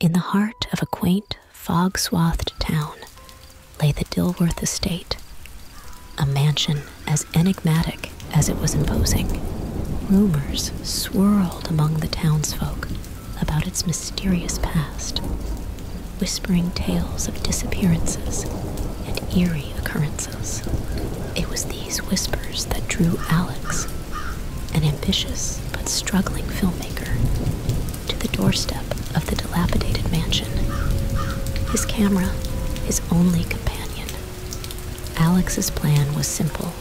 In the heart of a quaint, fog swathed town lay the Dilworth estate, a mansion as enigmatic as it was imposing. Rumors swirled among the townsfolk about its mysterious past, whispering tales of disappearances and eerie occurrences. It was these whispers that drew Alex an ambitious but struggling filmmaker, to the doorstep of the dilapidated mansion. His camera, his only companion. Alex's plan was simple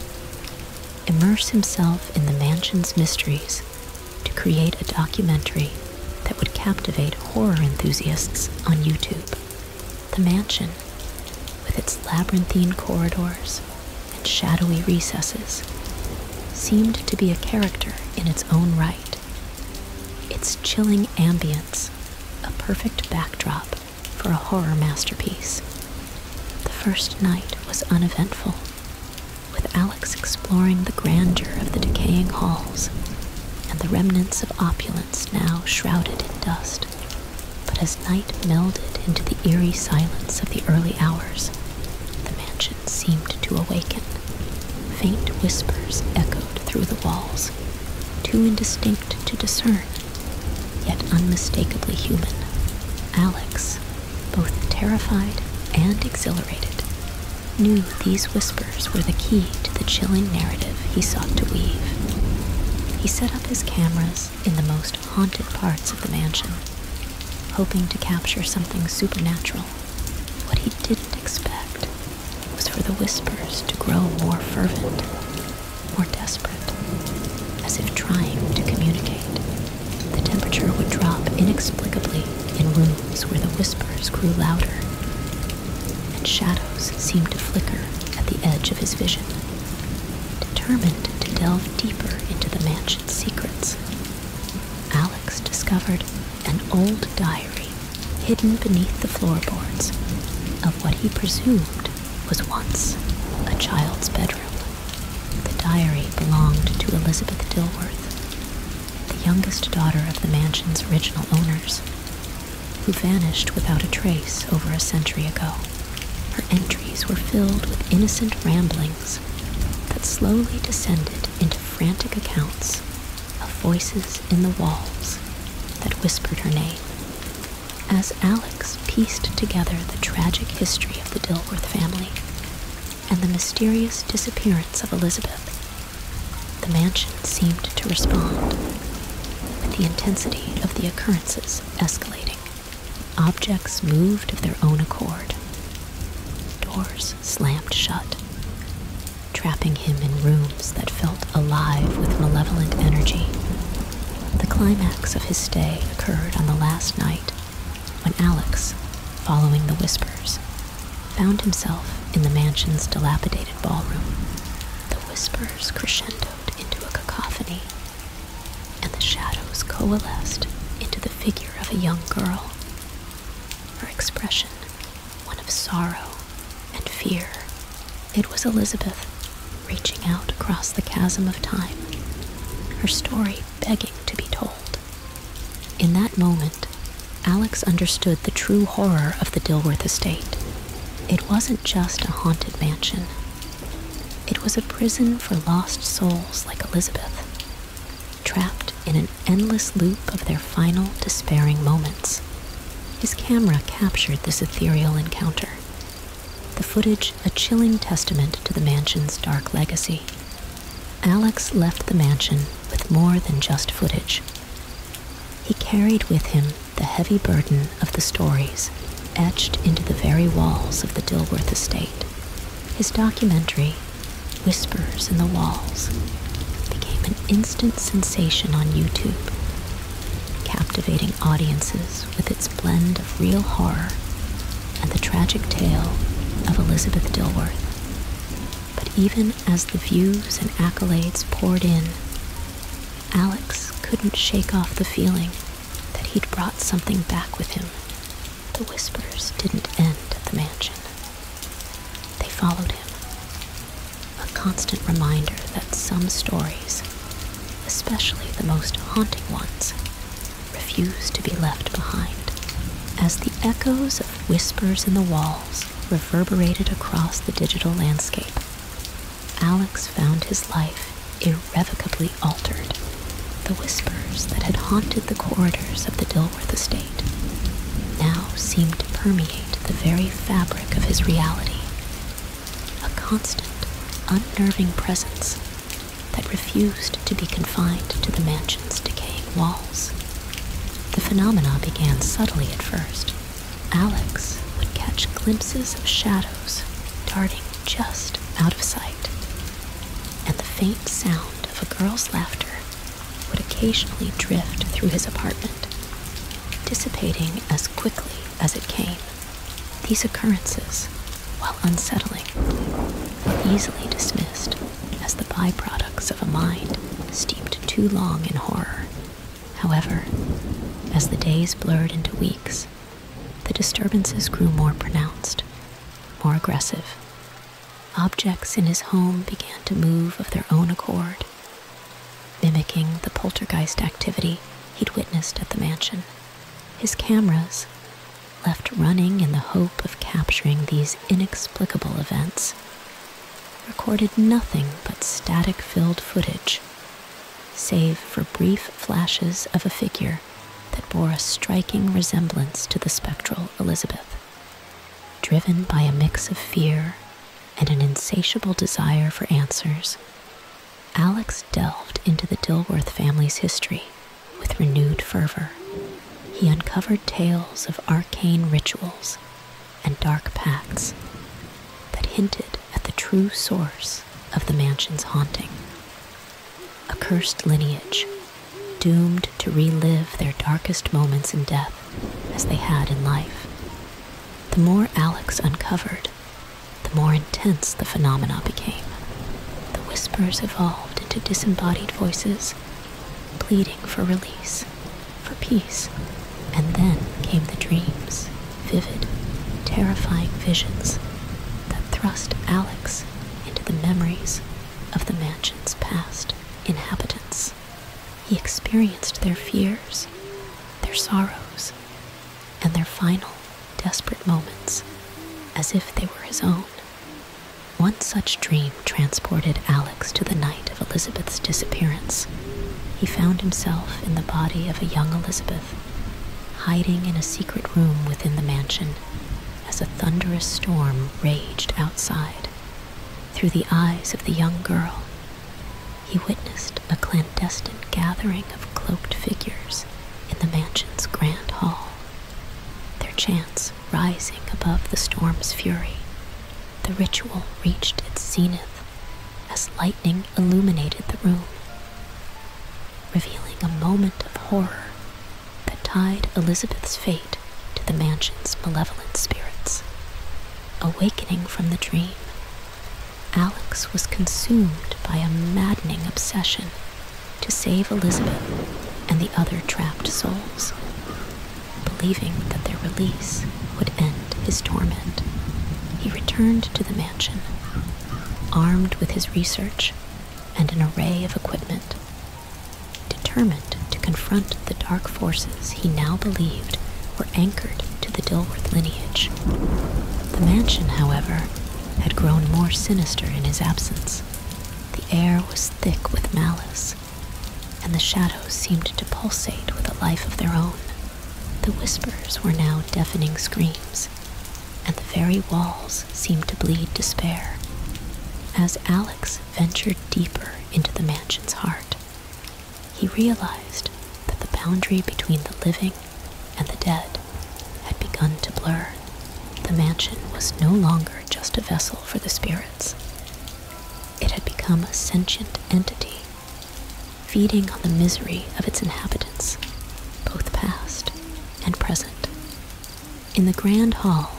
immerse himself in the mansion's mysteries to create a documentary that would captivate horror enthusiasts on YouTube. The mansion, with its labyrinthine corridors, and shadowy recesses, seemed to be a character in its own right. Its chilling ambience, a perfect backdrop for a horror masterpiece. The first night was uneventful, with Alex exploring the grandeur of the decaying halls and the remnants of opulence now shrouded in dust. But as night melded into the eerie silence of the early hours, the mansion seemed to awaken. Faint whispers echoed through the walls, too indistinct to discern, yet unmistakably human. Alex, both terrified and exhilarated, knew these whispers were the key to the chilling narrative he sought to weave. He set up his cameras in the most haunted parts of the mansion, hoping to capture something supernatural. What he didn't expect was for the whispers to grow more fervent, more desperate, as if trying to communicate. The temperature would drop inexplicably in rooms where the whispers grew louder, and shadows seemed to flicker at the edge of his vision. Determined to delve deeper into the mansion's secrets, Alex discovered an old diary hidden beneath the floorboards of what he presumed was once a child's bedroom. The diary belonged to Elizabeth Dilworth, the youngest daughter of the mansion's original owners, who vanished without a trace over a century ago. Her entries were filled with innocent rambling that slowly descended into frantic accounts of voices in the walls that whispered her name. As Alex pieced together the tragic history of the Dilworth family and the mysterious disappearance of Elizabeth, the mansion seemed to respond, with the intensity of the occurrences escalating. Objects moved of their own accord Doors slammed shut, trapping him in rooms that felt alive with malevolent energy. The climax of his stay occurred on the last night when Alex, following the whispers, found himself in the mansion's dilapidated ballroom. The whispers crescendoed into a cacophony, and the shadows coalesced into the figure of a young girl her expression one of sorrow and fear. It was Elizabeth reaching out across the chasm of time, her story begging to be told. In that moment, Alex understood the true horror of the Dilworth estate. It wasn't just a haunted mansion. It was a prison for lost souls like Elizabeth, trapped in an endless loop of their final despairing moments. His camera captured this ethereal encounter, the footage a chilling testament to the mansion's dark legacy. Alex left the mansion with more than just footage. He carried with him the heavy burden of the stories etched into the very walls of the Dilworth estate. His documentary Whispers in the walls became an instant sensation on YouTube, captivating audiences with its blend of real horror and the tragic tale of Elizabeth Dilworth. But even as the views and accolades poured in, Alex couldn't shake off the feeling that he'd brought something back with him the whispers didn't end at the mansion. They followed him. A constant reminder that some stories, especially the most haunting ones, refuse to be left behind. As the echoes of whispers in the walls reverberated across the digital landscape, Alex found his life irrevocably altered. The whispers that had haunted the corridors of the Dilworth estate now seemed to permeate the very fabric of his reality. A constant, unnerving presence that refused to be confined to the mansion's decaying walls. The phenomena began subtly at first. Alex would catch glimpses of shadows darting just out of sight, and the faint sound of a girl's laughter would occasionally drift through his apartment, dissipating as quickly as it came. These occurrences, while unsettling, were easily dismissed as the byproducts of a mind steeped too long in horror. However, as the days blurred into weeks, the disturbances grew more pronounced, more aggressive, objects in his home began to move of their own accord, mimicking the poltergeist activity he'd witnessed at the mansion. His cameras, left running in the hope of capturing these inexplicable events, recorded nothing but static filled footage, save for brief flashes of a figure that bore a striking resemblance to the spectral Elizabeth. Driven by a mix of fear and an insatiable desire for answers, Alex delved into the Dilworth family's history with renewed fervor. He uncovered tales of arcane rituals and dark pacts that hinted at the true source of the mansion's haunting a cursed lineage doomed to relive their darkest moments in death as they had in life. The more Alex uncovered, the more intense the phenomena became. The whispers evolved into disembodied voices, pleading for release, for peace, and then came the dreams, vivid, terrifying visions that thrust Alex into the memories of the mansion's past inhabitants. He experienced their fears, their sorrows, and their final, desperate moments as if they were his own. One such dream transported Alex to the night of Elizabeth's disappearance. He found himself in the body of a young Elizabeth, hiding in a secret room within the mansion as a thunderous storm raged outside. Through the eyes of the young girl, he witnessed a clandestine gathering of cloaked figures in the mansion's grand hall, their chants rising above the storm's fury. The ritual reached its zenith as lightning illuminated the room, revealing a moment of horror that tied Elizabeth's fate to the mansion's malevolent spirits. Awakening from the dream, Alex was consumed by a maddening obsession to save Elizabeth and the other trapped souls, believing that their release would end his torment. He returned to the mansion, armed with his research and an array of equipment Determined to confront the dark forces he now believed were anchored to the Dilworth lineage. The mansion, however, had grown more sinister in his absence. The air was thick with malice, and the shadows seemed to pulsate with a life of their own. The whispers were now deafening screams, and the very walls seemed to bleed despair. As Alex ventured deeper into the mansion's heart, he realized that the boundary between the living and the dead had begun to blur. The mansion was no longer just a vessel for the spirits, it had become a sentient entity, feeding on the misery of its inhabitants, both past and present. In the grand hall,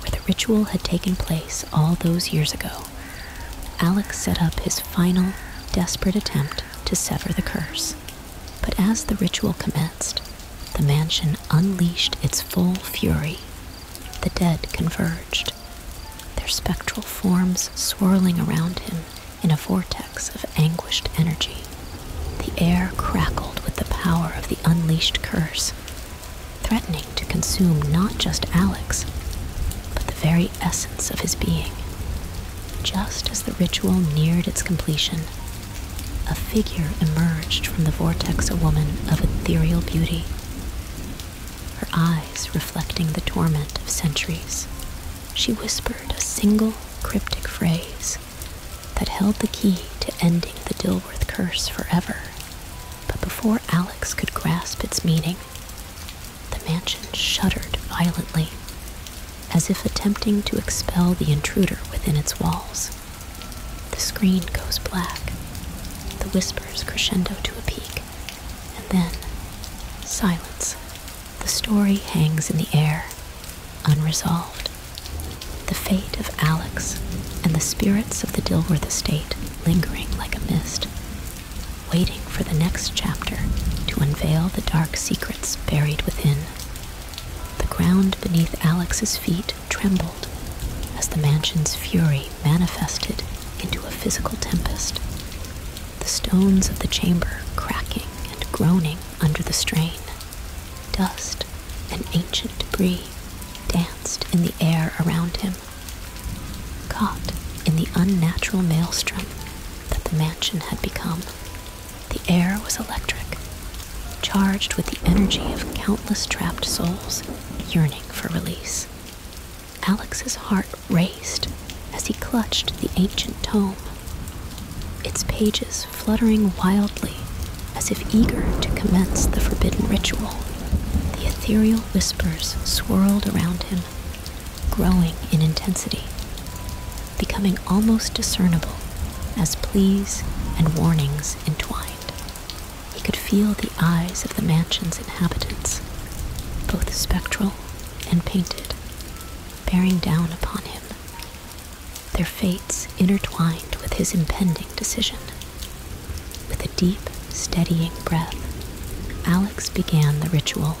where the ritual had taken place all those years ago, Alex set up his final, desperate attempt to sever the curse. But as the ritual commenced, the mansion unleashed its full fury. The dead converged, their spectral forms swirling around him in a vortex of anguished energy. The air crackled with the power of the unleashed curse, threatening to consume not just Alex, but the very essence of his being. Just as the ritual neared its completion, a figure emerged from the vortex a woman of ethereal beauty, her eyes reflecting the torment of centuries. She whispered a single cryptic phrase that held the key to ending the Dilworth curse forever. But before Alex could grasp its meaning, the mansion shuddered violently, as if attempting to expel the intruder within its walls. The screen goes black, the whispers crescendo to a peak, and then silence. The story hangs in the air, unresolved. The fate of Alex and the spirits of the Dilworth estate lingering like a mist, waiting for the next chapter to unveil the dark secrets buried within. The ground beneath Alex's feet trembled as the mansion's fury manifested into a physical tempest, the stones of the chamber cracking and groaning under the strain. Dust and ancient debris danced in the air around him caught in the unnatural maelstrom that the mansion had become. The air was electric, charged with the energy of countless trapped souls yearning for release. Alex's heart raced as he clutched the ancient tome, its pages fluttering wildly as if eager to commence the forbidden ritual. The ethereal whispers swirled around him, growing in intensity, becoming almost discernible as pleas and warnings entwined. He could feel the eyes of the mansion's inhabitants, both spectral and painted, bearing down upon him, their fates intertwined with his impending decision. With a deep, steadying breath, Alex began the ritual,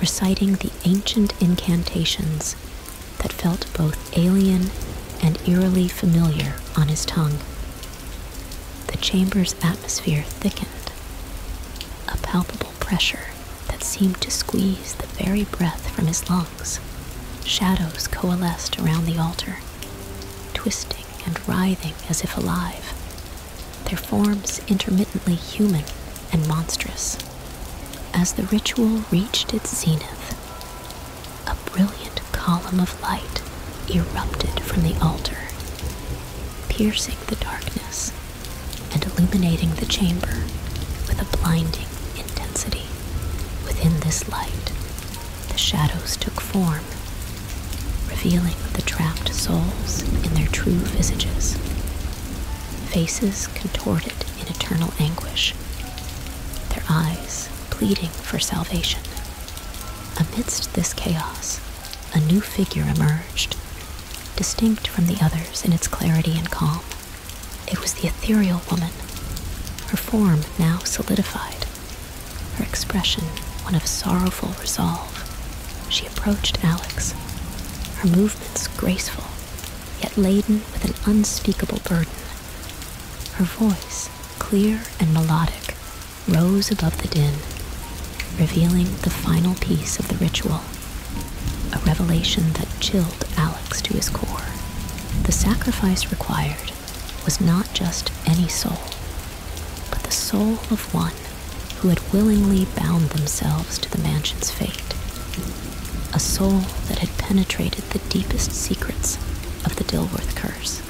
reciting the ancient incantations that felt both alien and eerily familiar on his tongue. The chamber's atmosphere thickened, a palpable pressure that seemed to squeeze the very breath from his lungs. Shadows coalesced around the altar, twisting and writhing as if alive, their forms intermittently human and monstrous. As the ritual reached its zenith, a brilliant column of light erupted from the altar, piercing the darkness and illuminating the chamber with a blinding intensity. Within this light, the shadows took form, revealing the trapped souls in their true visages, faces contorted in eternal anguish, their eyes pleading for salvation. Amidst this chaos, a new figure emerged, distinct from the others in its clarity and calm. It was the ethereal woman, her form now solidified her expression one of sorrowful resolve. She approached Alex, her movements graceful, yet laden with an unspeakable burden. Her voice, clear and melodic, rose above the din, revealing the final piece of the ritual, a revelation that chilled Alex to his core. The sacrifice required was not just any soul, but the soul of one who had willingly bound themselves to the mansion's fate, a soul that had penetrated the deepest secrets of the Dilworth curse.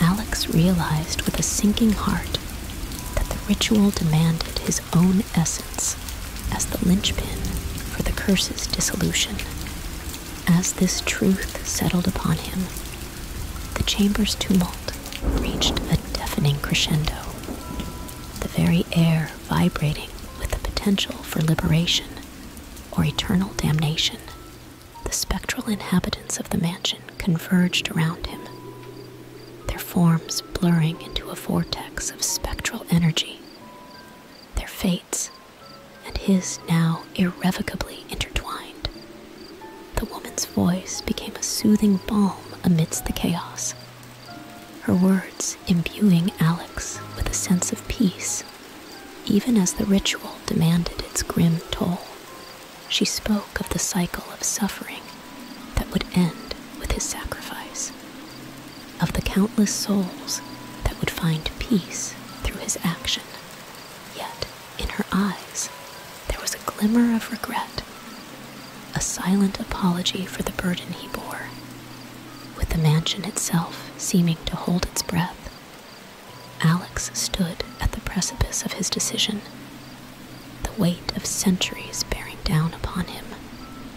Alex realized with a sinking heart that the ritual demanded his own essence as the linchpin for the curse's dissolution. As this truth settled upon him, the chamber's tumult reached a deafening crescendo, the very air vibrating with the potential for liberation or eternal damnation. The spectral inhabitants of the mansion converged around him, their forms blurring into a vortex of spectral energy, their fates and his now irrevocably intertwined. The woman's voice became a soothing balm amidst the chaos, her words imbuing Alex with a sense of peace. Even as the ritual demanded its grim toll, she spoke of the cycle of suffering that would end with his sacrifice, of the countless souls that would find peace through his action. Yet, in her eyes, there was a glimmer of regret, a silent apology for the burden he bore, with the mansion itself seeming to hold its breath. Alex stood at the precipice of his decision, the weight of centuries bearing down upon him.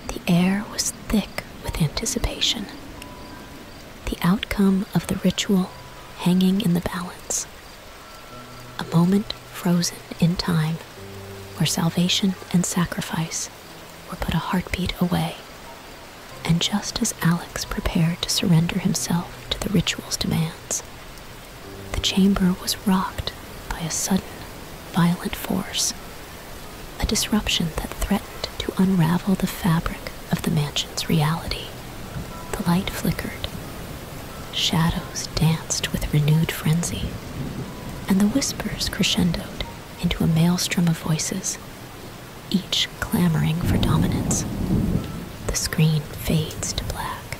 The air was thick with anticipation, the outcome of the ritual hanging in the balance a moment frozen in time where salvation and sacrifice were put a heartbeat away. And just as Alex prepared to surrender himself to the ritual's demands, the chamber was rocked by a sudden, violent force, a disruption that threatened to unravel the fabric of the mansion. Its reality. The light flickered. Shadows danced with renewed frenzy. And the whispers crescendoed into a maelstrom of voices, each clamoring for dominance. The screen fades to black,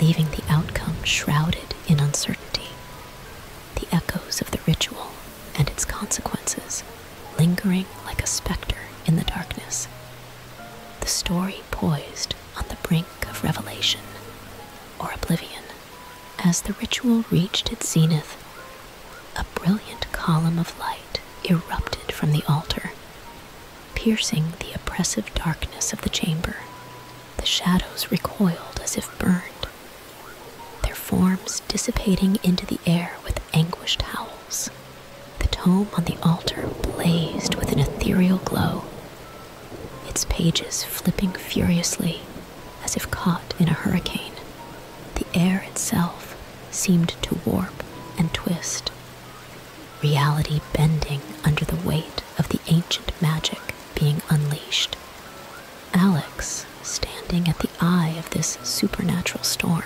leaving the outcome shrouded in uncertainty. The echoes of the ritual and its consequences lingering like a specter in the darkness the story poised on the brink of revelation or oblivion. As the ritual reached its zenith, a brilliant column of light erupted from the altar, piercing the oppressive darkness of the chamber. The shadows recoiled as if burned, their forms dissipating into the air with anguished howls. The tome on the altar blazed with an ethereal glow, its pages flipping furiously as if caught in a hurricane. The air itself seemed to warp and twist, reality bending under the weight of the ancient magic being unleashed. Alex, standing at the eye of this supernatural storm,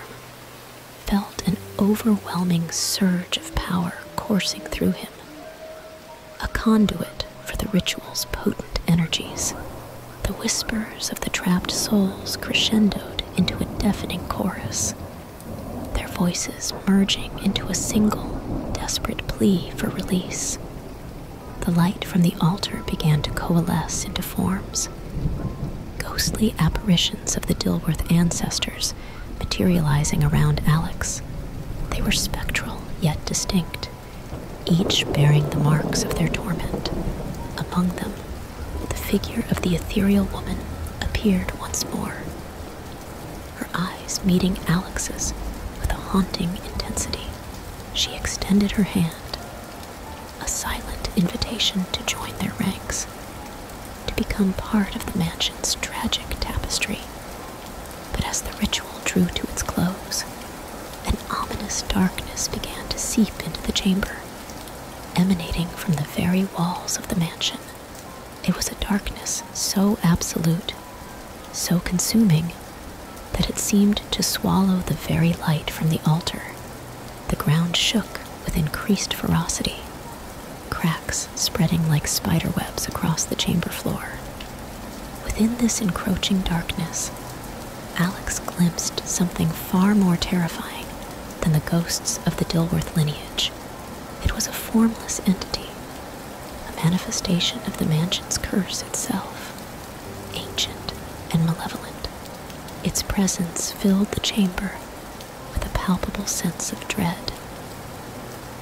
felt an overwhelming surge of power coursing through him, a conduit for the ritual's potent energies. The whispers of the trapped souls crescendoed into a deafening chorus, their voices merging into a single, desperate plea for release. The light from the altar began to coalesce into forms. Ghostly apparitions of the Dilworth ancestors materializing around Alex. They were spectral yet distinct, each bearing the marks of their torment. Among them, the figure of the ethereal woman appeared once more, her eyes meeting Alex's with a haunting intensity. She extended her hand, a silent invitation to join their ranks, to become part of the mansion's tragic tapestry. But as the ritual drew to its close, an ominous darkness began to seep into the chamber, emanating from the very walls of the mansion. It was a darkness so absolute, so consuming, that it seemed to swallow the very light from the altar. The ground shook with increased ferocity, cracks spreading like spiderwebs across the chamber floor. Within this encroaching darkness, Alex glimpsed something far more terrifying than the ghosts of the Dilworth lineage. It was a formless entity, a manifestation of the mansion's curse itself, ancient and malevolent. Its presence filled the chamber with a palpable sense of dread,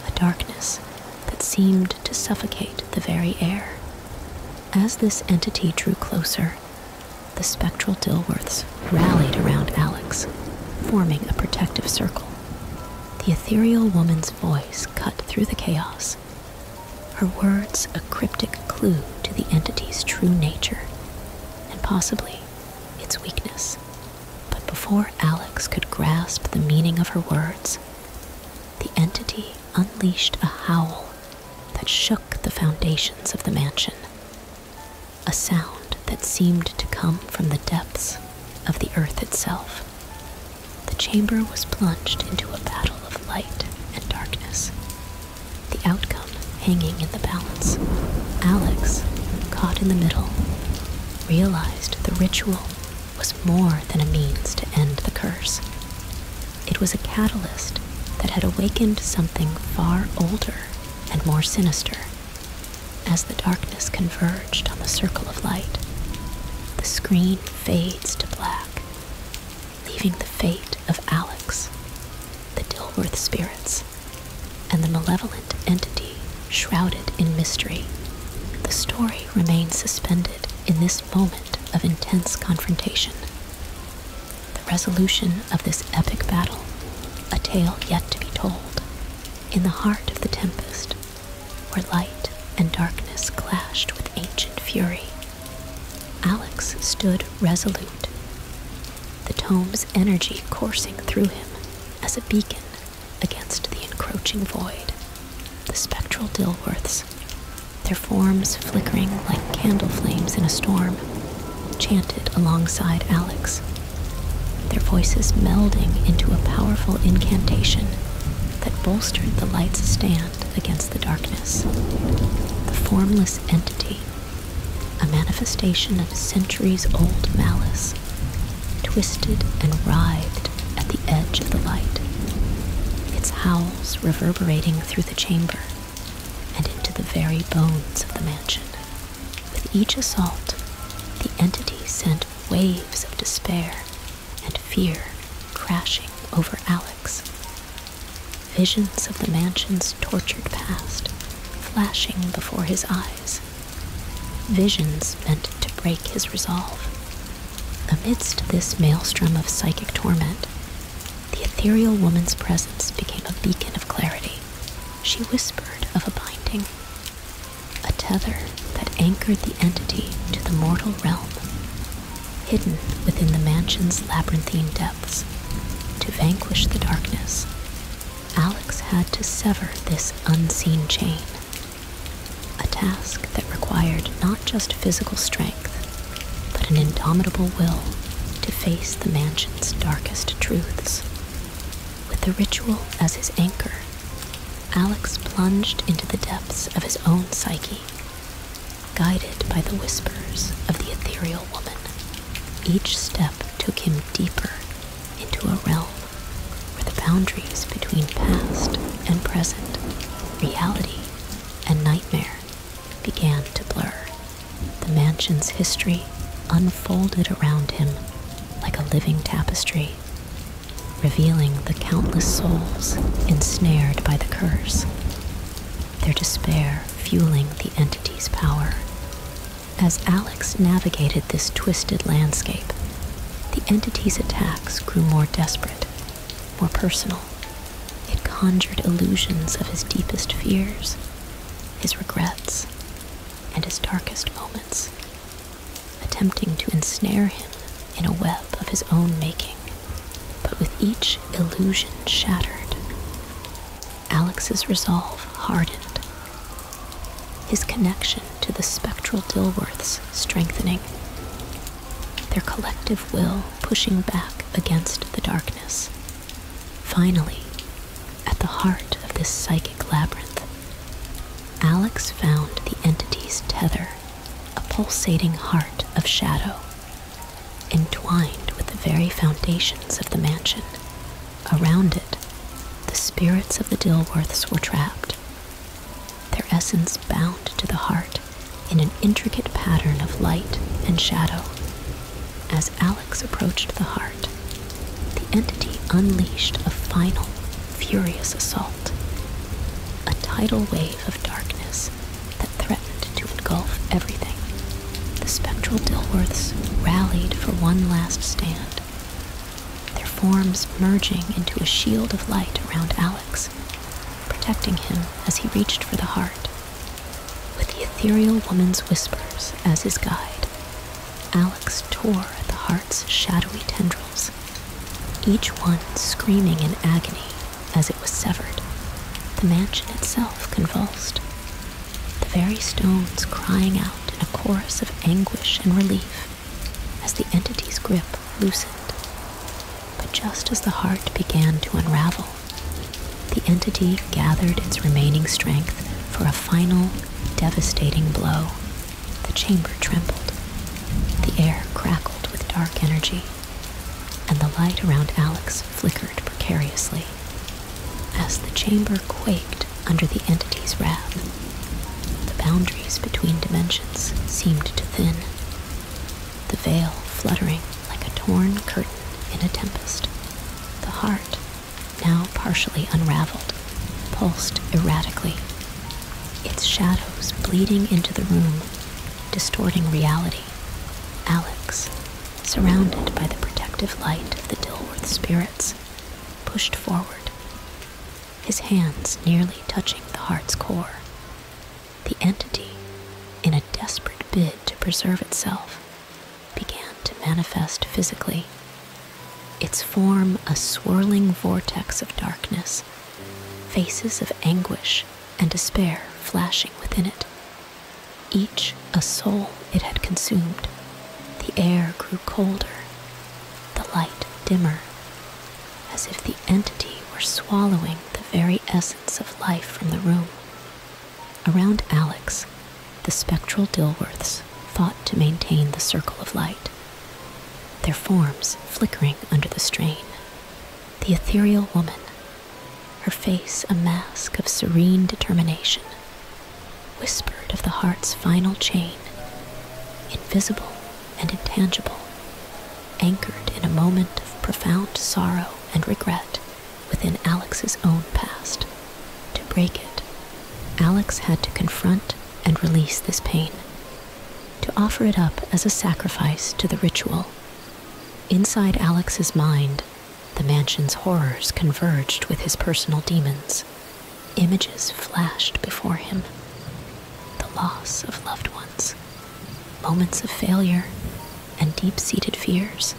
a darkness that seemed to suffocate the very air. As this entity drew closer, the spectral Dilworths rallied around Alex, forming a protective circle. The ethereal woman's voice cut through the chaos, her words a cryptic clue to the entity's true nature and possibly its weakness. But before Alex could grasp the meaning of her words, the entity unleashed a howl that shook the foundations of the mansion, a sound that seemed to come from the depths of the earth itself. The chamber was plunged into a battle of light and darkness, the outcome hanging in the balance. Alex, caught in the middle, realized the ritual was more than a means to end the curse. It was a catalyst that had awakened something far older and more sinister. As the darkness converged on the circle of light, the screen fades to black, leaving the fate of Alex, the Dilworth spirits, and the malevolent entity shrouded in mystery. The story remains suspended in this moment of intense confrontation. The resolution of this epic battle, a tale yet to be told, in the heart of the tempest, where light and darkness clashed with ancient fury. Alex stood resolute, the tome's energy coursing through him as a beacon against the encroaching void, the spectral Dilworths, their forms flickering like candle flames in a storm, chanted alongside Alex, their voices melding into a powerful incantation that bolstered the light's stand against the darkness. The formless entity, a manifestation of centuries old malice, twisted and writhed at the edge of the light, its howls reverberating through the chamber and into the very bones of the mansion. With each assault, the entity sent waves of despair and fear crashing over Alex. Visions of the mansion's tortured past flashing before his eyes Visions meant to break his resolve. Amidst this maelstrom of psychic torment, the ethereal woman's presence became a beacon of clarity. She whispered of a binding, a tether that anchored the entity to the mortal realm, hidden within the mansion's labyrinthine depths, to vanquish the darkness Alex had to sever this unseen chain, a task that required not just physical strength, but an indomitable will to face the mansion's darkest truths. With the ritual as his anchor, Alex plunged into the depths of his own psyche, guided by the whispers of the ethereal woman. Each step took him deeper into a realm where the boundaries between past and present, reality and nightmare, began to blur. The mansion's history unfolded around him like a living tapestry, revealing the countless souls ensnared by the curse, their despair fueling the entity's power. As Alex navigated this twisted landscape, the entity's attacks grew more desperate, more personal. It conjured illusions of his deepest fears, his regrets, and his darkest moments, attempting to ensnare him in a web of his own making. But with each illusion shattered, Alex's resolve hardened his connection to the spectral Dilworths strengthening, their collective will pushing back against the darkness. Finally, at the heart of this psychic labyrinth, Alex found the entity's tether, a pulsating heart of shadow, entwined with the very foundations of the mansion Around it, the spirits of the Dilworths were trapped, their essence bound to the heart in an intricate pattern of light and shadow. As Alex approached the heart, the entity unleashed a final, furious assault, a tidal wave of darkness that threatened to engulf everything. The spectral Dilworths rallied for one last stand their forms merging into a shield of light around Alex, protecting him as he reached for the heart. With the ethereal woman's whispers as his guide, Alex tore at the heart's shadowy tendrils, each one screaming in agony as it was severed. The mansion itself convulsed, the very stones crying out in a chorus of anguish and relief as the entity's grip loosened. But just as the heart began to unravel, the entity gathered its remaining strength for a final, devastating blow. The chamber trembled, the air crackled with dark energy, and the light around Alex flickered precariously. As the chamber quaked, under the entity's wrath. The boundaries between dimensions seemed to thin, the veil fluttering like a torn curtain in a tempest. The heart, now partially unraveled, pulsed erratically, its shadows bleeding into the room, distorting reality. Alex, surrounded by the protective light of the Dilworth spirits, pushed forward, his hands nearly touching the heart's core. The entity, in a desperate bid to preserve itself, began to manifest physically, its form a swirling vortex of darkness, faces of anguish and despair flashing within it. Each a soul it had consumed. The air grew colder the light dimmer, as if the entity were swallowing the very essence of life from the room. Around Alex, the spectral Dilworths fought to maintain the circle of light, their forms flickering under the strain. The ethereal woman, her face a mask of serene determination, whispered of the heart's final chain, invisible and intangible, anchored in a moment of profound sorrow and regret within Alex's own past. To break it, Alex had to confront and release this pain, to offer it up as a sacrifice to the ritual. Inside Alex's mind, the mansion's horrors converged with his personal demons. Images flashed before him the loss of loved ones, moments of failure, and deep seated fears,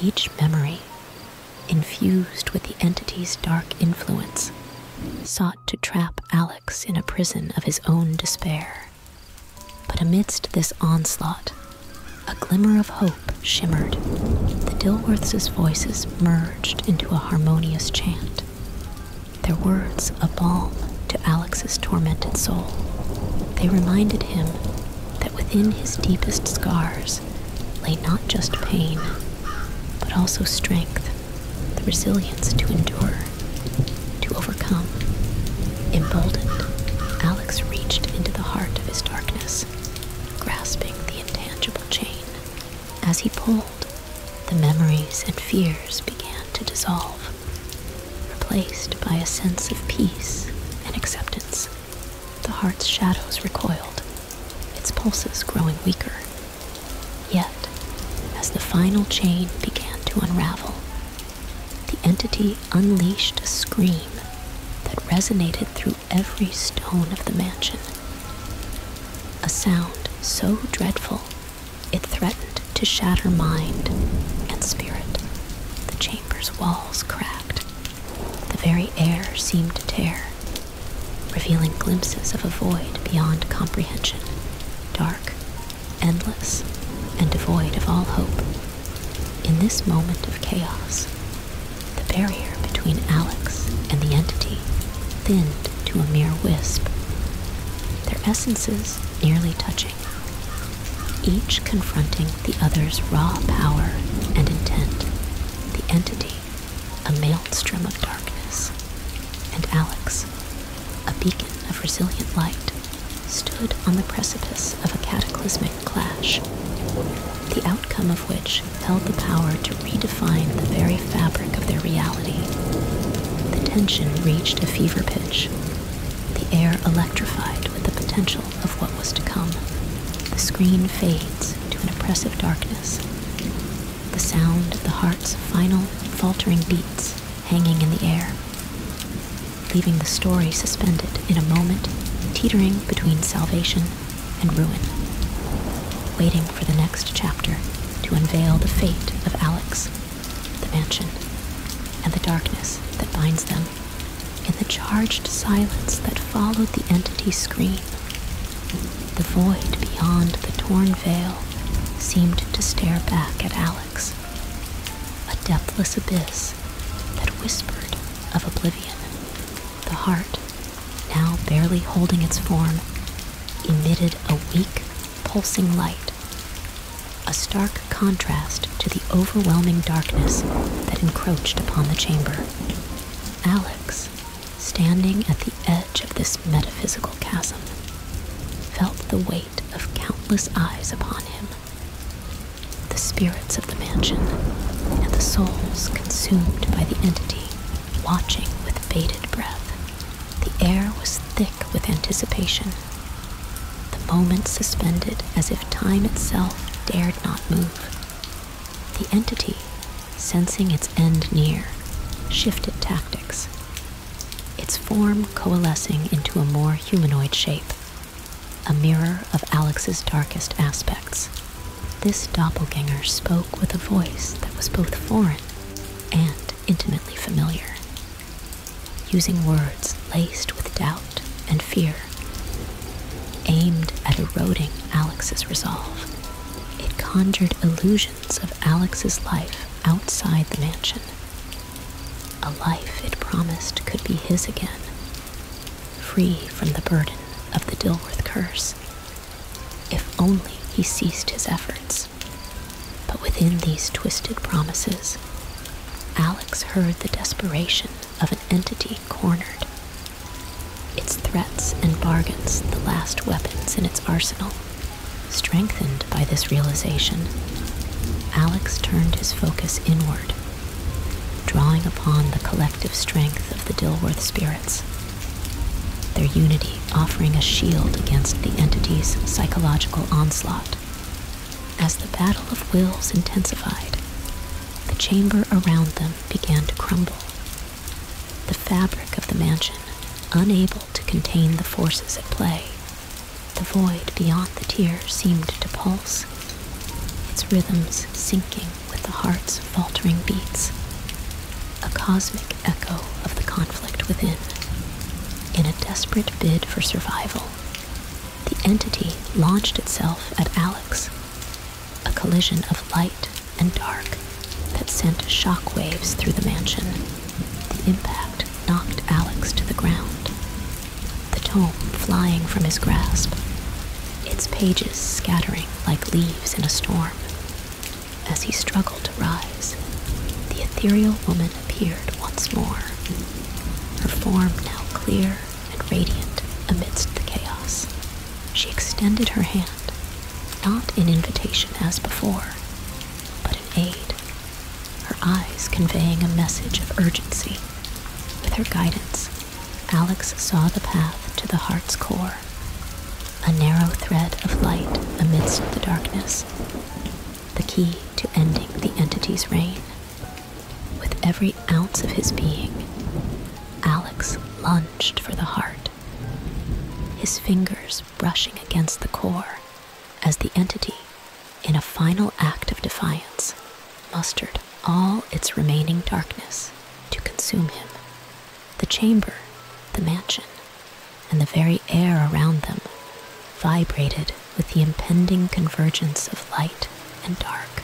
each memory, infused with the entity's dark influence, sought to trap Alex in a prison of his own despair. But amidst this onslaught, a glimmer of hope shimmered. The Dilworths' voices merged into a harmonious chant. Their words a balm to Alex's tormented soul. They reminded him that within his deepest scars lay not just pain, but also strength, the resilience to endure, to overcome. Emboldened, Alex reached into the heart of his darkness, grasping the intangible chain. As he pulled, the memories and fears began to dissolve, replaced by a sense of peace and acceptance. The heart's shadows recoiled, its pulses growing weaker. Yet, as the final chain began to unravel, the entity unleashed a scream that resonated through every stone of the mansion. A sound so dreadful it threatened to shatter mind and spirit. The chamber's walls cracked. The very air seemed to tear, revealing glimpses of a void beyond comprehension, dark, endless, and devoid of all hope. In this moment of chaos, the barrier between Alex and the entity thinned to a mere wisp, their essences nearly touching, each confronting the other's raw power and intent, the entity, a maelstrom of darkness, and Alex, a beacon of resilient light, stood on the precipice of a cataclysmic clash, the outcome of which held the power to redefine Find the very fabric of their reality. The tension reached a fever pitch, the air electrified with the potential of what was to come. The screen fades to an oppressive darkness. The sound of the heart's final, faltering beats hanging in the air, leaving the story suspended in a moment, teetering between salvation and ruin, waiting for the next chapter to unveil the fate of Alex, the mansion, and the darkness that binds them. In the charged silence that followed the entity's scream, the void beyond the torn veil seemed to stare back at Alex, a depthless abyss that whispered of oblivion. The heart, now barely holding its form, emitted a weak, pulsing light, a stark contrast to the overwhelming darkness that encroached upon the chamber. Alex, standing at the edge of this metaphysical chasm, felt the weight of countless eyes upon him. The spirits of the mansion and the souls consumed by the entity watching with bated breath. The air was thick with anticipation, the moment suspended as if time itself dared not move. The entity, sensing its end near, shifted tactics, its form coalescing into a more humanoid shape, a mirror of Alex's darkest aspects. This doppelganger spoke with a voice that was both foreign and intimately familiar, using words laced with doubt and fear, aimed at eroding Alex's resolve. It conjured illusions of Alex's life outside the mansion, a life it promised could be his again, free from the burden of the Dilworth curse. If only he ceased his efforts. But within these twisted promises, Alex heard the desperation of an entity cornered. Its threats and bargains, the last weapons in its arsenal. Strengthened by this realization, Alex turned his focus inward, drawing upon the collective strength of the Dilworth spirits their unity offering a shield against the entity's psychological onslaught. As the battle of wills intensified, the chamber around them began to crumble. The fabric of the mansion, unable to contain the forces at play, the void beyond the tears seemed to pulse, its rhythms sinking with the heart's faltering beats a cosmic echo of the conflict within. In a desperate bid for survival, the entity launched itself at Alex, a collision of light and dark that sent shockwaves through the mansion. The impact knocked Alex to the ground, the tome flying from his grasp, its pages scattering like leaves in a storm. As he struggled to rise, the ethereal woman appeared once more, her form now clear and radiant amidst the chaos. She extended her hand, not an invitation as before, but an aid, her eyes conveying a message of urgency. With her guidance, Alex saw the path to the heart's core, a narrow thread of light amidst the darkness, the key to ending the entity's reign. With every ounce of his being, Alex lunged for the heart, his fingers brushing against the core as the entity, in a final act of defiance, mustered all its remaining darkness to consume him. The chamber, the mansion, and the very air around them vibrated with the impending convergence of light and dark.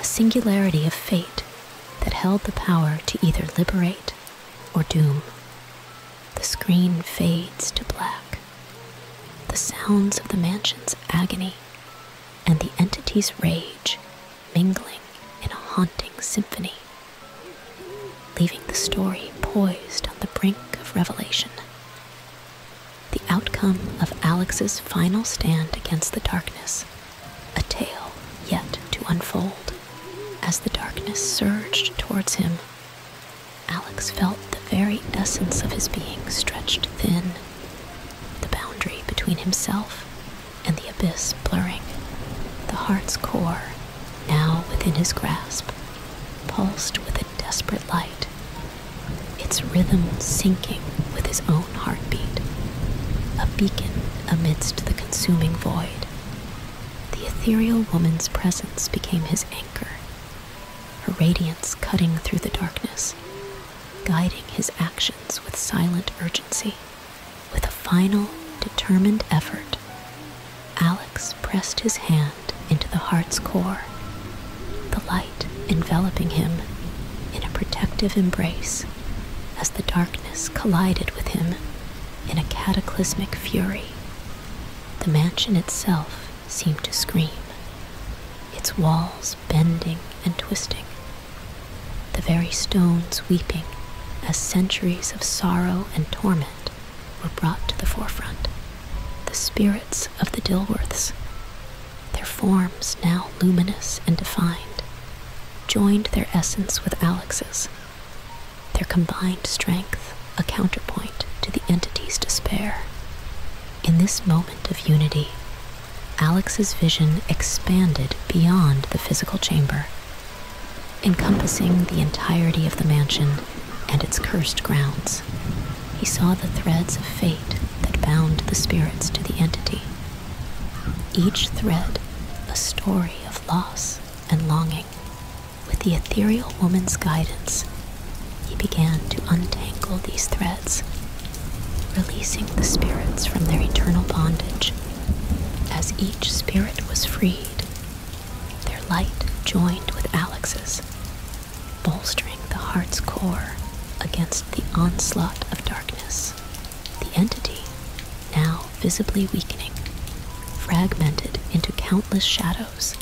A singularity of fate that held the power to either liberate or doom. The screen fades to black. The sounds of the mansion's agony and the entity's rage mingling in a haunting symphony leaving the story poised on the brink of revelation. The outcome of Alex's final stand against the darkness, a tale yet to unfold. As the darkness surged towards him, Alex felt the very essence of his being stretched thin, the boundary between himself and the abyss blurring, the heart's core now within his grasp, pulsed with a desperate light, its rhythm sinking with his own heartbeat, a beacon amidst the consuming void. The ethereal woman's presence became his anchor, her radiance cutting through the darkness, guiding his actions with silent urgency. With a final, determined effort, Alex pressed his hand into the heart's core, the light enveloping him in a protective embrace as the darkness collided with him in a cataclysmic fury. The mansion itself seemed to scream, its walls bending and twisting, the very stones weeping as centuries of sorrow and torment were brought to the forefront. The spirits of the Dilworths, their forms now luminous and defined, joined their essence with Alex's, their combined strength a counterpoint to the entity's despair. In this moment of unity, Alex's vision expanded beyond the physical chamber encompassing the entirety of the mansion and its cursed grounds. He saw the threads of fate that bound the spirits to the entity. Each thread a story of loss and longing. With the ethereal woman's guidance, he began to untangle these threads, releasing the spirits from their eternal bondage. As each spirit was freed, their light joined with Alex's, bolstering the heart's core against the onslaught of darkness. The entity, now visibly weakening, fragmented into countless shadows,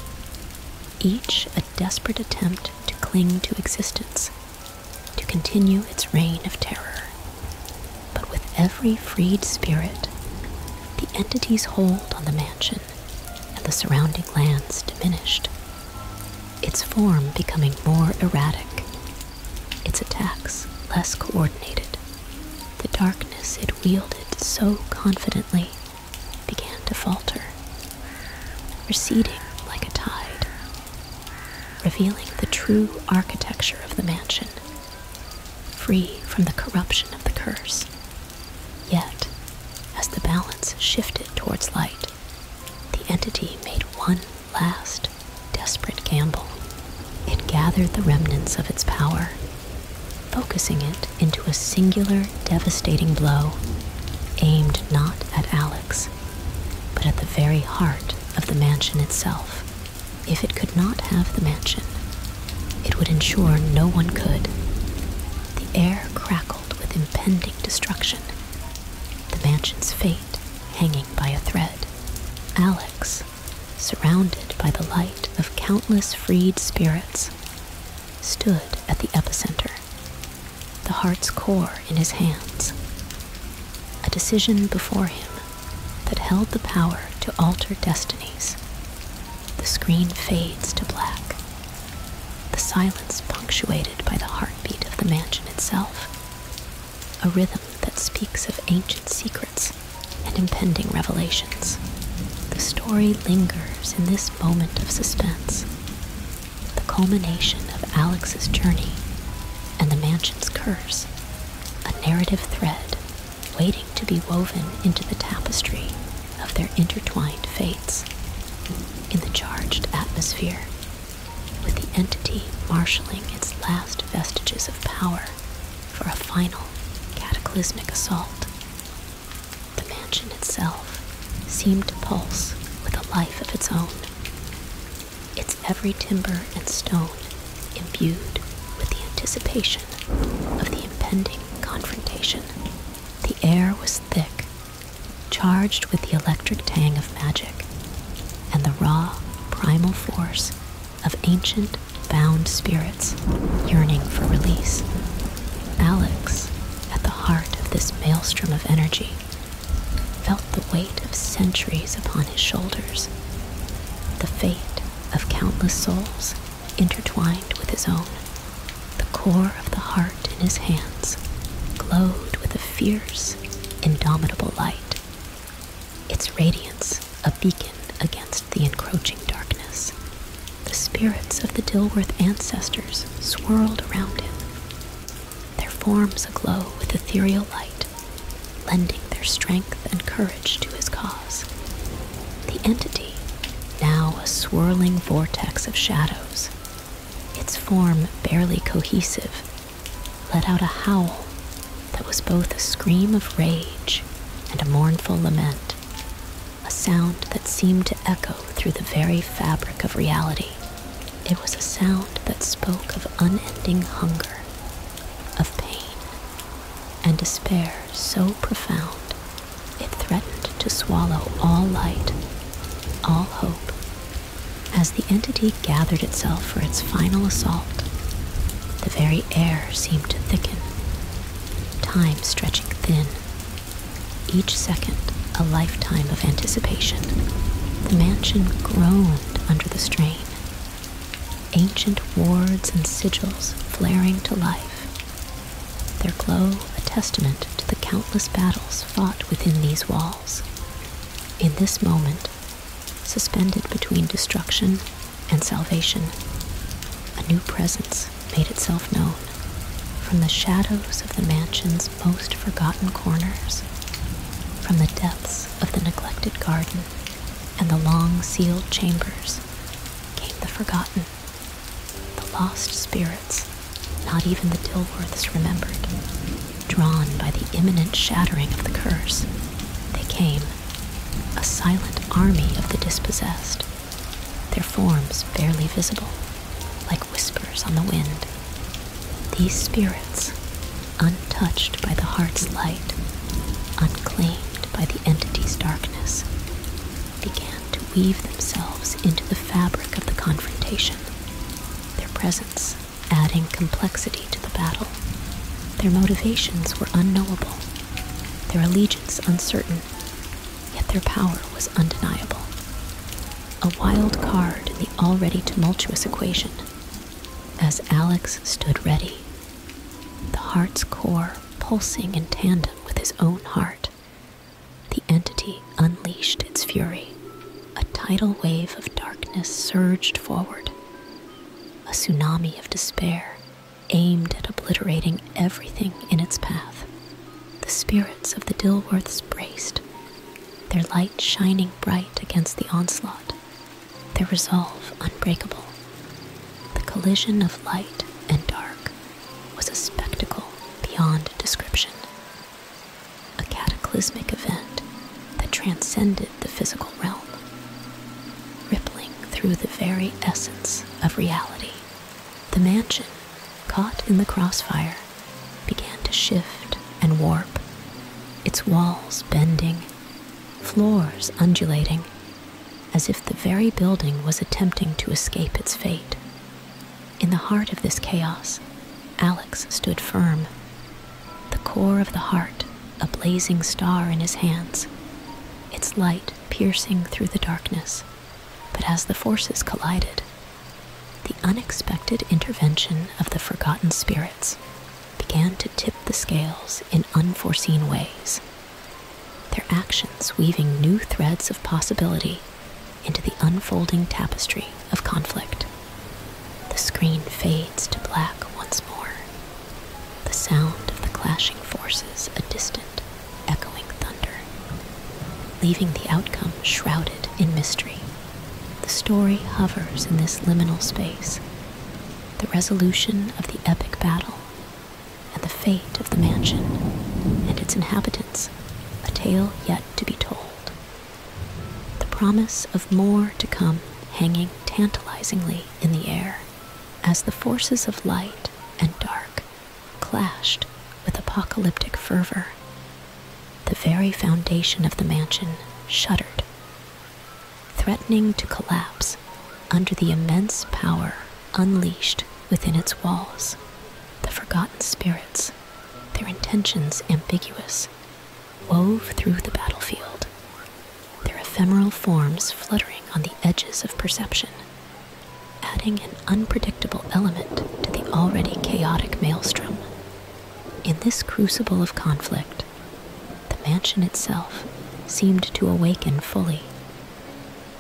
each a desperate attempt to cling to existence, to continue its reign of terror. But with every freed spirit, the entity's hold on the man and the surrounding lands diminished, its form becoming more erratic, its attacks less coordinated. The darkness it wielded so confidently began to falter, receding like a tide, revealing the true architecture of the mansion, free from the corruption of the curse Yet, as the balance shifted towards light, the entity made one last desperate gamble. It gathered the remnants of its power, focusing it into a singular, devastating blow aimed not at Alex, but at the very heart of the mansion itself. If it could not have the mansion, it would ensure no one could. The air crackled with impending destruction, the mansion's fate hanging by a thread. Alex, surrounded by the light of countless freed spirits, stood at the epicenter, the heart's core in his hands. A decision before him that held the power to alter destinies, the screen fades to black. The silence punctuated by the heartbeat of the mansion itself. A rhythm that speaks of ancient secrets and impending revelations. The story lingers in this moment of suspense. The culmination of Alex's journey and the mansion's curse, a narrative thread waiting to be woven into the tapestry of their intertwined fates. In the charged atmosphere, with the entity marshaling its last vestiges of power for a final cataclysmic assault, the mansion itself seemed to pulse with a life of its own, its every timber and stone imbued with the anticipation of the impending confrontation. The air was thick, charged with the electric tang of magic and the raw, primal force of ancient, bound spirits yearning for release. Alex, at the heart of this maelstrom of energy, felt the weight of centuries upon his shoulders, the fate of countless souls intertwined with his own. The core of the heart in his hands glowed with a fierce, indomitable light, its radiance a beacon against the encroaching darkness. The spirits of the Dilworth ancestors swirled around him, their forms aglow with ethereal light, lending their strength and courage to his cause. The entity, now a swirling vortex of shadows, its form barely cohesive, let out a howl that was both a scream of rage and a mournful lament, a sound that seemed to echo through the very fabric of reality. It was a sound that spoke of unending hunger, of pain, and despair so profound it threatened to swallow all light, all hope, as the entity gathered itself for its final assault. The very air seemed to thicken, time stretching thin. Each second, a lifetime of anticipation. The mansion groaned under the strain. Ancient wards and sigils flaring to life, their glow a testament to the countless battles fought within these walls. In this moment, suspended between destruction and salvation, a new presence made itself known from the shadows of the mansion's most forgotten corners, from the depths of the neglected garden and the long sealed chambers came the forgotten. The lost spirits, not even the Dilworths remembered, drawn by the imminent shattering of the curse, they came, a silent army of the dispossessed, their forms barely visible, like whispers on the wind. These spirits, untouched by the heart's light, unclaimed by the entity's darkness, began to weave themselves into the fabric of the confrontation, their presence adding complexity to the battle. Their motivations were unknowable, their allegiance uncertain, yet their power was undeniable. A wild card in the already tumultuous equation. As Alex stood ready, the heart's core pulsing in tandem with his own heart, the entity unleashed its fury. A tidal wave of darkness surged forward. A tsunami of despair aimed at obliterating everything in its path. The spirits of the Dilworths braced, their light shining bright against the onslaught, their resolve unbreakable. The collision of light and dark was a spectacle beyond description, a cataclysmic event that transcended the physical realm, rippling through the very essence of reality. The mansion, caught in the crossfire, began to shift and warp, its walls bending, floors undulating, as if the very building was attempting to escape its fate. In the heart of this chaos, Alex stood firm, the core of the heart a blazing star in his hands, its light piercing through the darkness. But as the forces collided, the unexpected intervention of the forgotten spirits began to tip the scales in unforeseen ways their actions weaving new threads of possibility into the unfolding tapestry of conflict. The screen fades to black once more, the sound of the clashing forces a distant, echoing thunder, leaving the outcome shrouded in mystery. The story hovers in this liminal space, the resolution of the epic battle and the fate of the mansion and its inhabitants, a tale yet to be told. The promise of more to come hanging tantalizingly in the air as the forces of light and dark clashed with apocalyptic fervor. The very foundation of the mansion shuddered, threatening to collapse under the immense power unleashed within its walls the forgotten spirits, their intentions ambiguous, wove through the battlefield, their ephemeral forms fluttering on the edges of perception, adding an unpredictable element to the already chaotic maelstrom. In this crucible of conflict, the mansion itself seemed to awaken fully,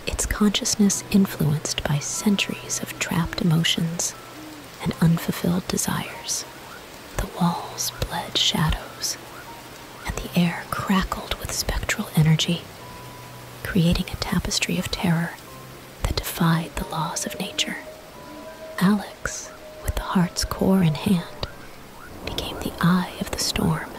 its consciousness influenced by centuries of trapped emotions and unfulfilled desires. The walls bled shadows, and the air crackled with spectral energy, creating a tapestry of terror that defied the laws of nature. Alex, with the heart's core in hand, became the eye of the storm,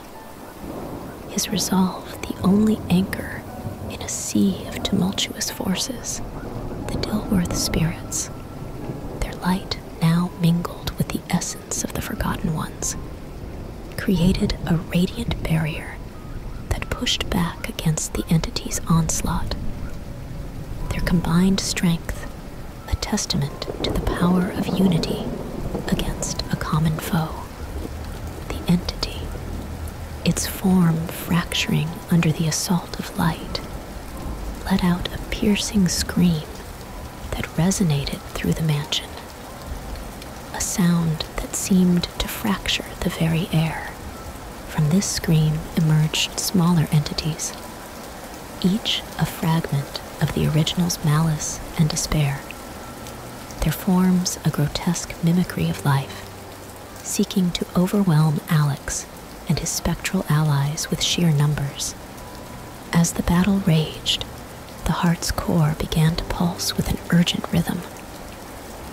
his resolve the only anchor in a sea of tumultuous forces, the Dilworth spirits, their light now mingled with the essence of the Forgotten Ones, created a radiant barrier that pushed back against the entity's onslaught. Their combined strength, a testament to the power of unity against a common foe the entity, its form fracturing under the assault of light, let out a piercing scream that resonated through the mansion, a sound that seemed to fracture the very air. From this scream emerged smaller entities, each a fragment of the original's malice and despair, their forms a grotesque mimicry of life, seeking to overwhelm Alex and his spectral allies with sheer numbers. As the battle raged, the heart's core began to pulse with an urgent rhythm,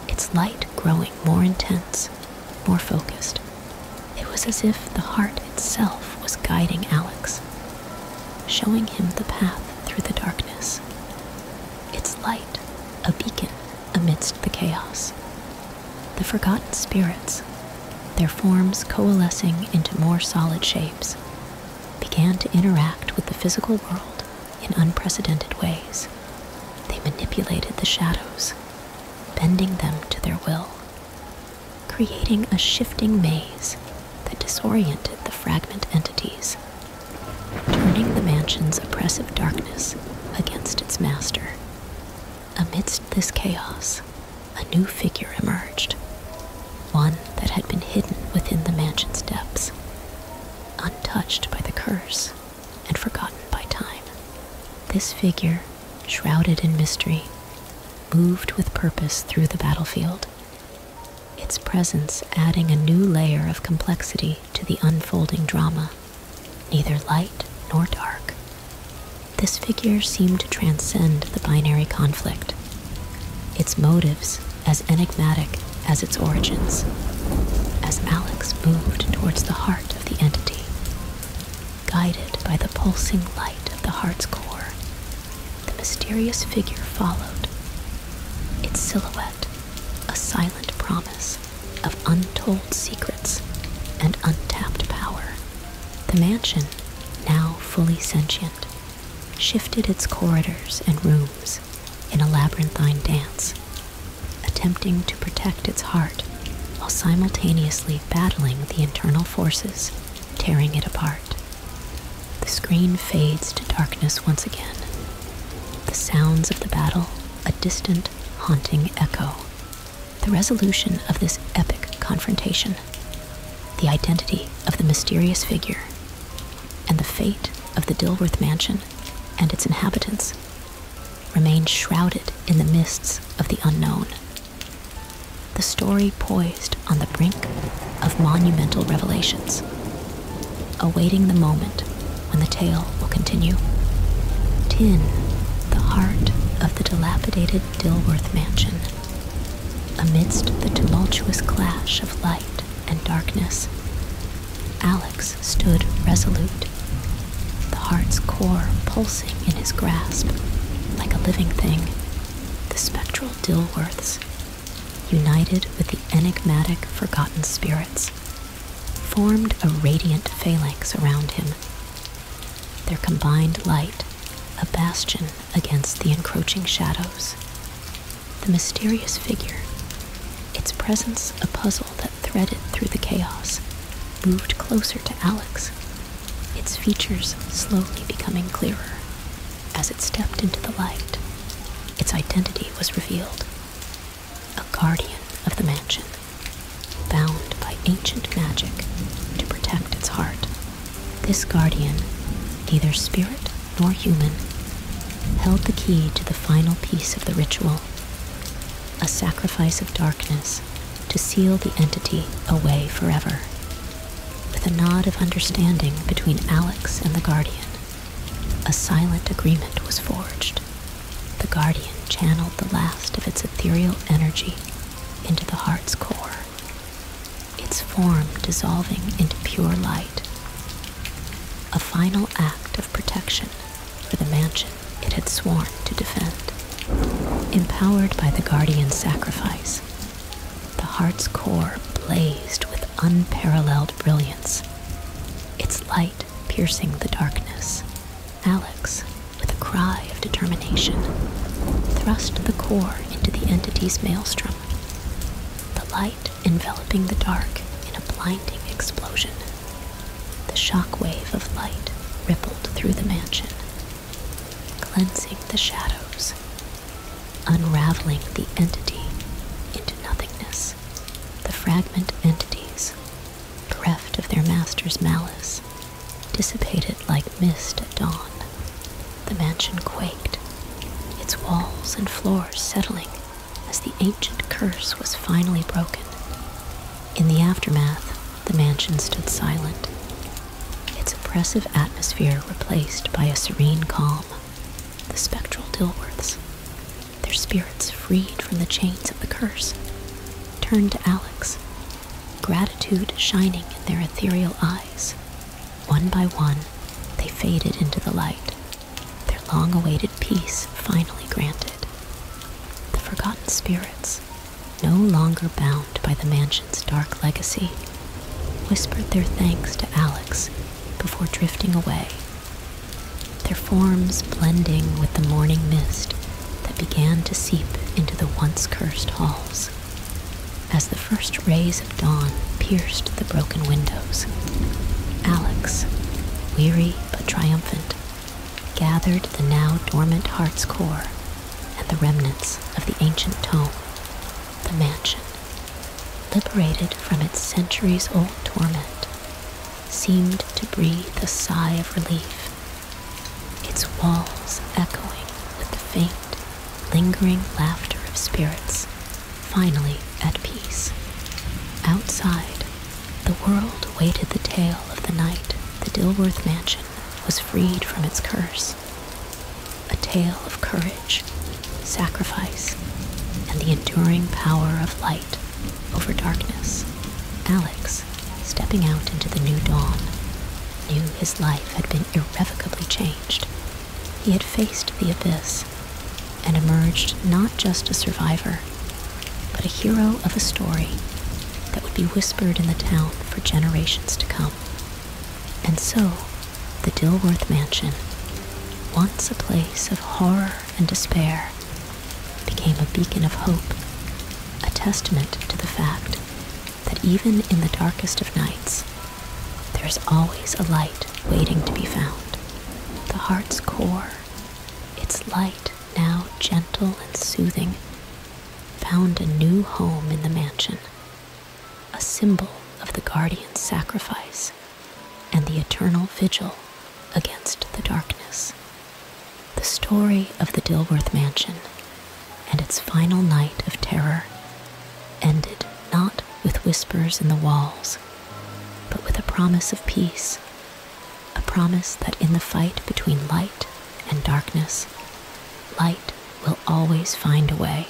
its light growing more intense, more focused. It was as if the heart itself was guiding Alex, showing him the path through the darkness. Its light a beacon amidst the chaos. The forgotten spirits, their forms coalescing into more solid shapes, began to interact with the physical world in unprecedented ways. They manipulated the shadows, bending them to their will, creating a shifting maze that disoriented the fragment entities turning the mansion's oppressive darkness against its master. Amidst this chaos, a new figure emerged, one that had been hidden within the mansion's depths, untouched by the curse and forgotten by time. This figure, shrouded in mystery, moved with purpose through the battlefield, its presence adding a new layer of complexity to the unfolding drama, neither light nor dark. This figure seemed to transcend the binary conflict, its motives as enigmatic as its origins, as Alex moved towards the heart of the entity. Guided by the pulsing light of the heart's core, the mysterious figure followed, its silhouette a silent promise of untold secrets and untapped power. The mansion, now fully sentient, shifted its corridors and rooms in a labyrinthine dance, attempting to protect its heart while simultaneously battling the internal forces tearing it apart. The screen fades to darkness once again. The sounds of the battle a distant, haunting echo. The resolution of this epic confrontation, the identity of the mysterious figure, and the fate of the Dilworth Mansion and its inhabitants remain shrouded in the mists of the unknown. The story poised on the brink of monumental revelations awaiting the moment when the tale will continue. in the heart of the dilapidated Dilworth mansion. Amidst the tumultuous clash of light and darkness, Alex stood resolute, the heart's core pulsing in his grasp like a living thing. The spectral Dilworths, united with the enigmatic forgotten spirits formed a radiant phalanx around him, their combined light a bastion against the encroaching shadows. The mysterious figure, its presence a puzzle that threaded through the chaos, moved closer to Alex, its features slowly becoming clearer. As it stepped into the light, its identity was revealed a guardian of the mansion, bound by ancient magic to protect its heart. This guardian, neither spirit nor human, held the key to the final piece of the ritual a sacrifice of darkness to seal the entity away forever. With a nod of understanding between Alex and the guardian, a silent agreement was forged. The Guardian channeled the last of its ethereal energy into the heart's core, its form dissolving into pure light. A final act of protection for the mansion it had sworn to defend. Empowered by the Guardian's sacrifice, the heart's core blazed with unparalleled brilliance. Its light piercing the darkness. Alex, with a cry of determination, thrust the core into the entity's maelstrom, the light enveloping the dark in a blinding explosion. The shockwave of light rippled through the mansion, cleansing the shadows, unraveling the entity into nothingness. The fragment entities bereft of their master's malice, dissipated like mist at dawn. The mansion quaked, its walls and floors settling as the ancient curse was finally broken. In the aftermath, the mansion stood silent, its oppressive atmosphere replaced by a serene calm. The spectral Dilworths, their spirits freed from the chains of the curse, turned to Alex, gratitude shining in their ethereal eyes. One by one, they faded into the light, their long awaited peace finally granted. The forgotten spirits, no longer bound by the mansion's dark legacy, whispered their thanks to Alex before drifting away their forms blending with the morning mist that began to seep into the once cursed halls as the first rays of dawn pierced the broken windows. Alex, weary but triumphant, gathered the now dormant heart's core and the remnants of the ancient tome, the mansion, liberated from its centuries old torment seemed to breathe a sigh of relief, its walls echoing with the faint, lingering laughter of spirits, finally at peace. Outside, the world waited. the tale of the night the Dilworth mansion was freed from its curse. A tale of courage, sacrifice, and the enduring power of light over darkness. Alex, stepping out into the new dawn, knew his life had been irrevocably changed. He had faced the abyss and emerged not just a survivor, but a hero of a story that would be whispered in the town for generations to come. And so, the Dilworth Mansion, once a place of horror and despair, became a beacon of hope, a testament to the fact that even in the darkest of nights, there is always a light waiting to be found. The heart's core, its light now gentle and soothing, found a new home in the mansion, a symbol of the guardian's sacrifice and the eternal vigil against the darkness. The story of the Dilworth Mansion and its final night of terror ended not with whispers in the walls, but with a promise of peace, a promise that in the fight between light and darkness, light will always find a way.